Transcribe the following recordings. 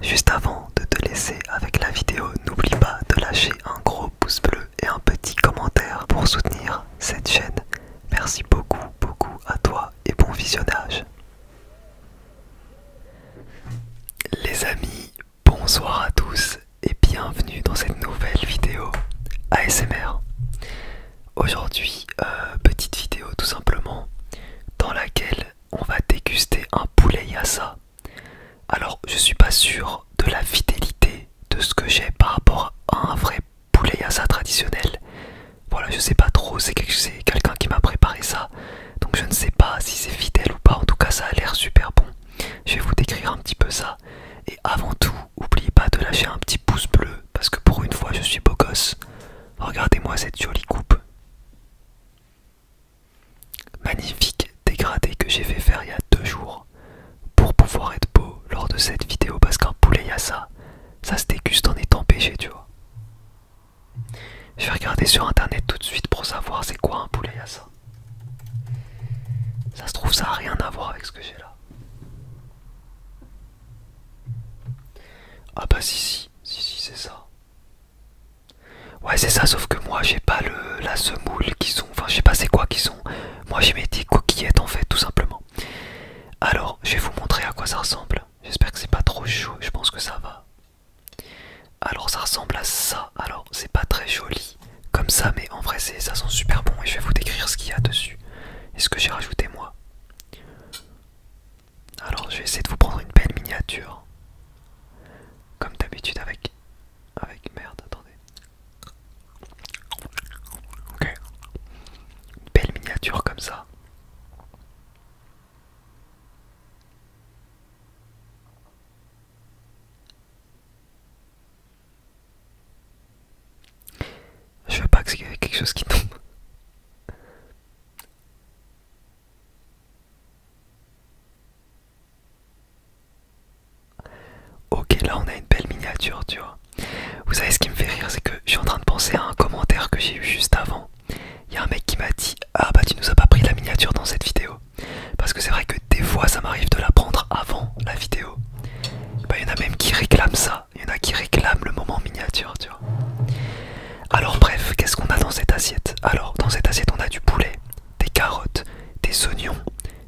Juste avant de te laisser avec la vidéo, n'oublie pas de lâcher un gros pouce bleu et un petit commentaire pour soutenir cette chaîne. Merci beaucoup, beaucoup à toi et bon visionnage. Les amis, bonsoir à tous et bienvenue dans cette nouvelle vidéo ASMR. Aujourd'hui, euh, petite vidéo tout simplement dans laquelle on va déguster un poulet yassa. Alors, je suis pas sûr de la fidélité de ce que j'ai par rapport à un vrai poulet yassa traditionnel. Voilà, je sais pas trop, c'est quelqu'un qui m'a préparé ça. Donc, je ne sais pas si c'est fidèle ou pas. En tout cas, ça a l'air super bon. Je vais vous décrire un petit peu ça. Et avant tout, n'oubliez pas de lâcher un petit pouce bleu parce que pour une fois, je suis beau gosse. Regardez-moi cette jolie coupe. Magnifique dégradé que j'ai fait faire il y a deux jours pour pouvoir être beau lors de cette vidéo parce qu'un poulet yassa, ça se déguste en étant pêché, tu vois. Je vais regarder sur internet tout de suite pour savoir c'est quoi un poulet yassa. Ça se trouve, ça n'a rien à voir avec ce que j'ai là. Ah bah si si, si si c'est ça. Ouais c'est ça sauf que moi j'ai pas le la semoule qui sont enfin je sais pas c'est quoi qui sont moi j'ai mes des coquillettes en fait tout simplement alors je vais vous montrer à quoi ça ressemble j'espère que c'est pas trop chaud je pense que ça va alors ça ressemble à ça alors c'est pas très joli comme ça mais en vrai ça sent super bon et je vais vous décrire ce qu'il y a dessus et ce que j'ai rajouté moi alors je vais essayer de vous prendre une belle miniature. Comme d'habitude avec... Avec merde, attendez. Ok. Une belle miniature comme ça. Je veux pas que quelque chose qui tombe. Ok, là on a une belle miniature, tu vois. Vous savez ce qui me fait rire, c'est que je suis en train de penser à un commentaire que j'ai eu juste avant. Il y a un mec qui m'a dit Ah bah tu nous as pas pris la miniature dans cette vidéo. Parce que c'est vrai que des fois ça m'arrive de la prendre avant la vidéo. Bah, il y en a même qui réclament ça. Il y en a qui réclament le moment miniature, tu vois. Alors bref, qu'est-ce qu'on a dans cette assiette Alors dans cette assiette on a du poulet, des carottes, des oignons,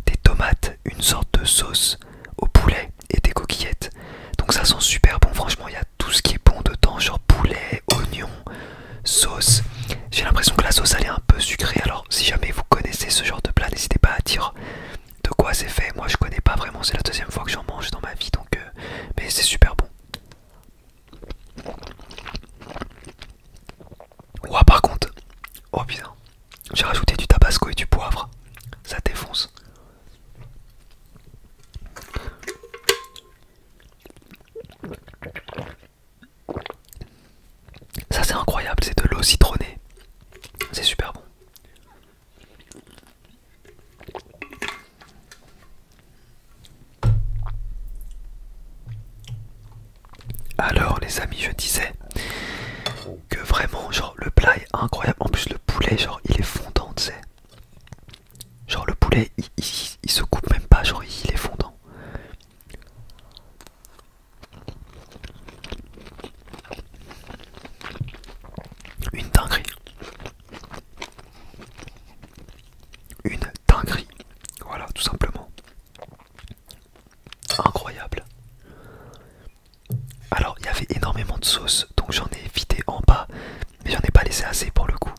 des tomates, une sorte de sauce au poulet et des coquillettes. Donc ça sent super bon, franchement il y a tout ce qui est bon dedans, genre poulet, oignon, sauce. J'ai l'impression que la sauce elle est un peu sucrée, alors si jamais vous connaissez ce genre de plat, n'hésitez pas à dire de quoi c'est fait. Moi je connais pas vraiment, c'est la deuxième fois que j'en mange dans ma vie, donc euh, mais c'est super bon. Ouah par contre, oh putain, j'ai rajouté du tabasco et du poivre, ça défonce. Ça c'est incroyable, c'est de l'eau citronnée, c'est super bon. Alors les amis je disais que vraiment genre le plat est incroyable en plus le poulet genre il est fondant tu sais genre le poulet il, se coupe même pas genre il est fondant une dinguerie une dinguerie. Voilà, tout simplement. Incroyable. Alors, il y avait énormément de sauce, donc j'en ai vidé en bas, mais j'en ai pas laissé assez pour le coup.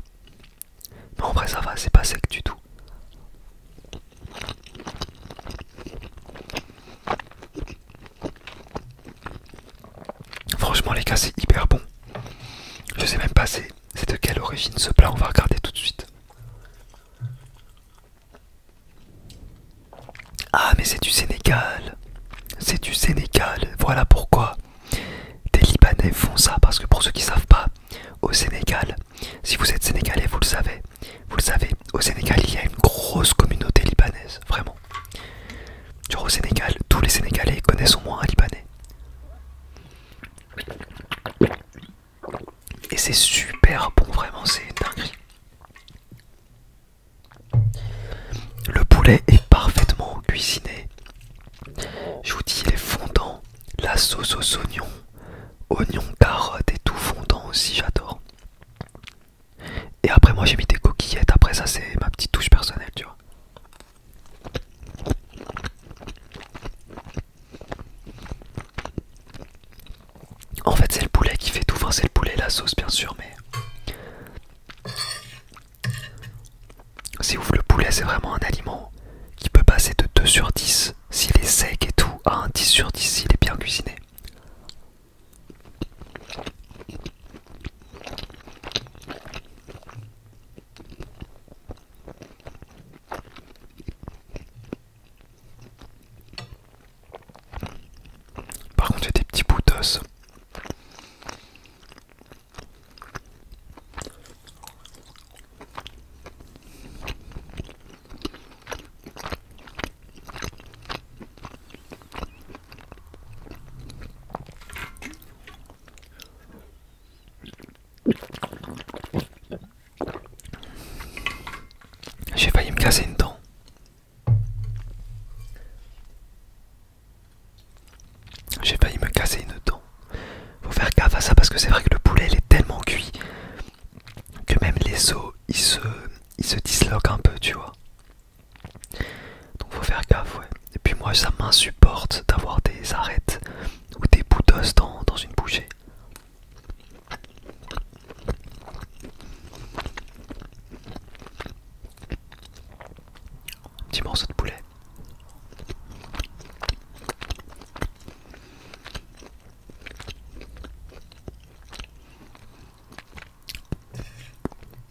Mais en vrai, ça va, c'est pas sec du tout. Franchement les gars c'est hyper bon. Je sais même pas c'est de quelle origine ce plat, on va regarder tout de suite. Ah mais c'est du Sénégal. C'est du Sénégal. Voilà pourquoi des Libanais font ça. Parce que pour ceux qui savent pas, au Sénégal, si vous êtes Sénégalais, vous le savez. Vous le savez, au Sénégal, il y a une grosse communauté libanaise. Vraiment. Genre au Sénégal, tous les Sénégalais connaissent au moins un Libanais. Et c'est super bon, vraiment, c'est dingue. Le poulet est parfaitement cuisiné. Je vous dis, les fondants, La sauce aux oignons, oignons, carottes et tout fondant aussi, j'adore. Et après, moi j'ai mis des coquillettes. Après, ça, c'est ma petite touche personnelle, tu vois. En fait, c'est le poulet qui fait tout. Enfin, c'est le poulet, la sauce, bien sûr, mais. C'est ouf, le poulet, c'est vraiment un aliment qui peut passer de 2 sur 10 s'il est sec et tout à un 10 sur 10 s'il est bien cuisiné. Par contre, j'ai des petits bouts j'ai failli me casser une dent. J'ai failli me casser une dent. Faut faire gaffe à ça parce que c'est vrai que le poulet il est tellement cuit que même les os ils se, ils se disloquent un peu, tu vois. Donc faut faire gaffe, ouais. Et puis moi, ça m'insupporte d'avoir des arêtes ou des bouts d'os dans, dans une bouchée. Petit morceau de poulet.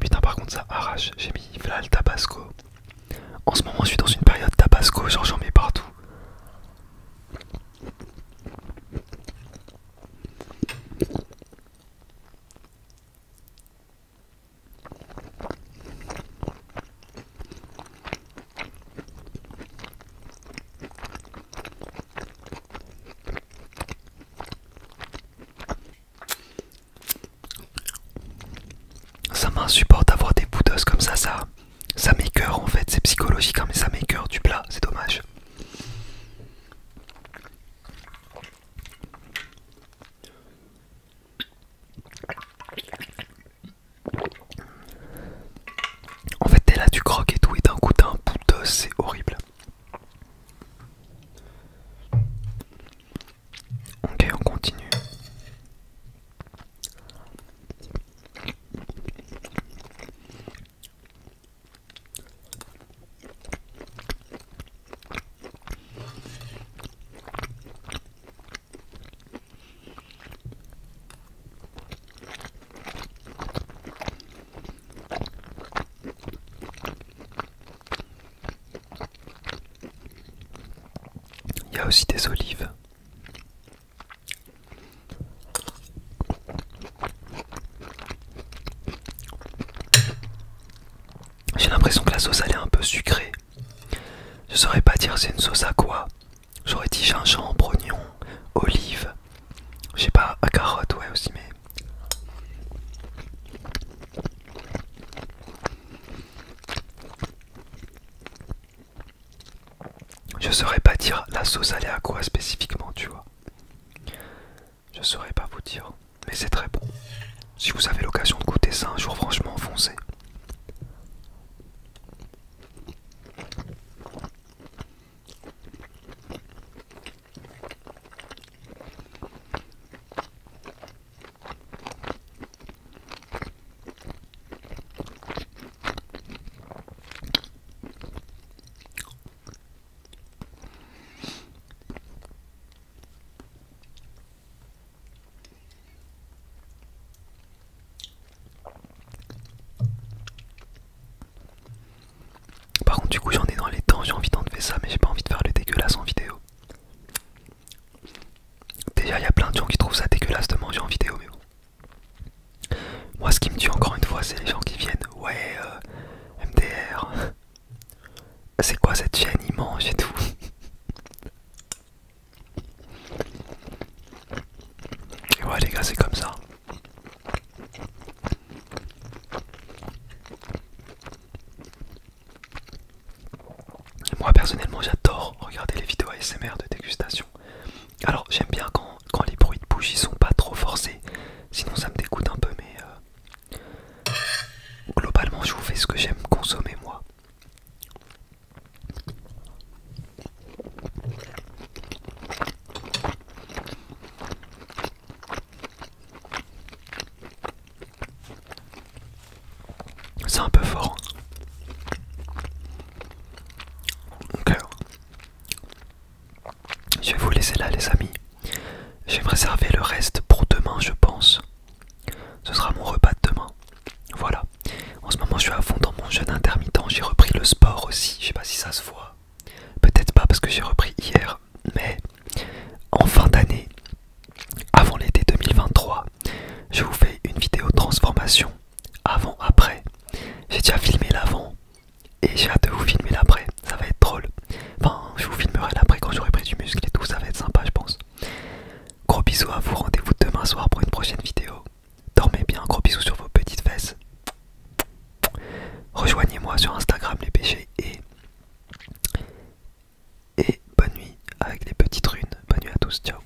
Putain par contre ça arrache, j'ai mis Vlal tabasco. En ce moment je suis dans une période tabasco, genre j'en mets partout. Ça m'insupporte d'avoir des boudos comme ça, ça, ça m'écœure en fait, c'est psychologique, hein, mais ça m'écœure du plat, c'est dommage. En fait, t'es là, tu croques et tout, et d'un coup, t'as un bout d'os, c'est horrible. Ok, on continue. Il y a aussi des olives j'ai l'impression que la sauce elle est un peu sucrée. Je saurais pas dire c'est une sauce à quoi. J'aurais dit gingembre, oignon, olive. Je sais pas, à carotte ouais aussi mais. Je saurais pas dire la sauce allait à quoi spécifiquement, tu vois. Je saurais pas vous dire, mais c'est très bon. Si vous avez l'occasion de goûter ça un jour, franchement, foncez. Par contre du coup j'en ai dans les temps, j'ai envie d'enlever ça mais j'ai pas envie de faire le dégueulasse en vidéo. Déjà il y a plein de gens qui trouvent ça dégueulasse de manger en vidéo mais bon. Moi, ce qui me tue encore une fois, c'est les gens qui viennent. Ouais, euh, MDR. C'est quoi cette chaîne Il mange et tout. Et ouais, les gars, c'est comme ça. Moi personnellement j'adore regarder les vidéos ASMR de dégustation alors j'aime bien quand, les bruits de bouche ils sont pas trop forcés, sinon ça me dégoûte un peu mais euh, globalement je vous fais ce que j'aime consommer moi. C'est un peu fort. Hein. Ok. Je vais vous laisser là les amis. je me réserver le reste pour demain je pense. Ce sera mon repas de demain. Voilà. En ce moment je suis à fond dans mon jeûne intermittent. J'ai repris le sport aussi. Je sais pas si ça se voit. Peut-être pas parce que j'ai repris hier. Mais en fin d'année, avant l'été 2023, je vous fais une vidéo transformation avant, après. J'ai déjà filmé l'avant et j'ai hâte de vous filmer l'après. Ça va être drôle. Enfin, je vous filmerai l'après quand j'aurai pris du muscle et tout. Ça va être sympa, je pense. Gros bisous à vous. Rendez-vous demain soir pour une prochaine vidéo. Dormez bien. Gros bisous sur vos petites fesses. Rejoignez-moi sur Instagram les péchés et et bonne nuit avec les petites runes. Bonne nuit à tous. Ciao.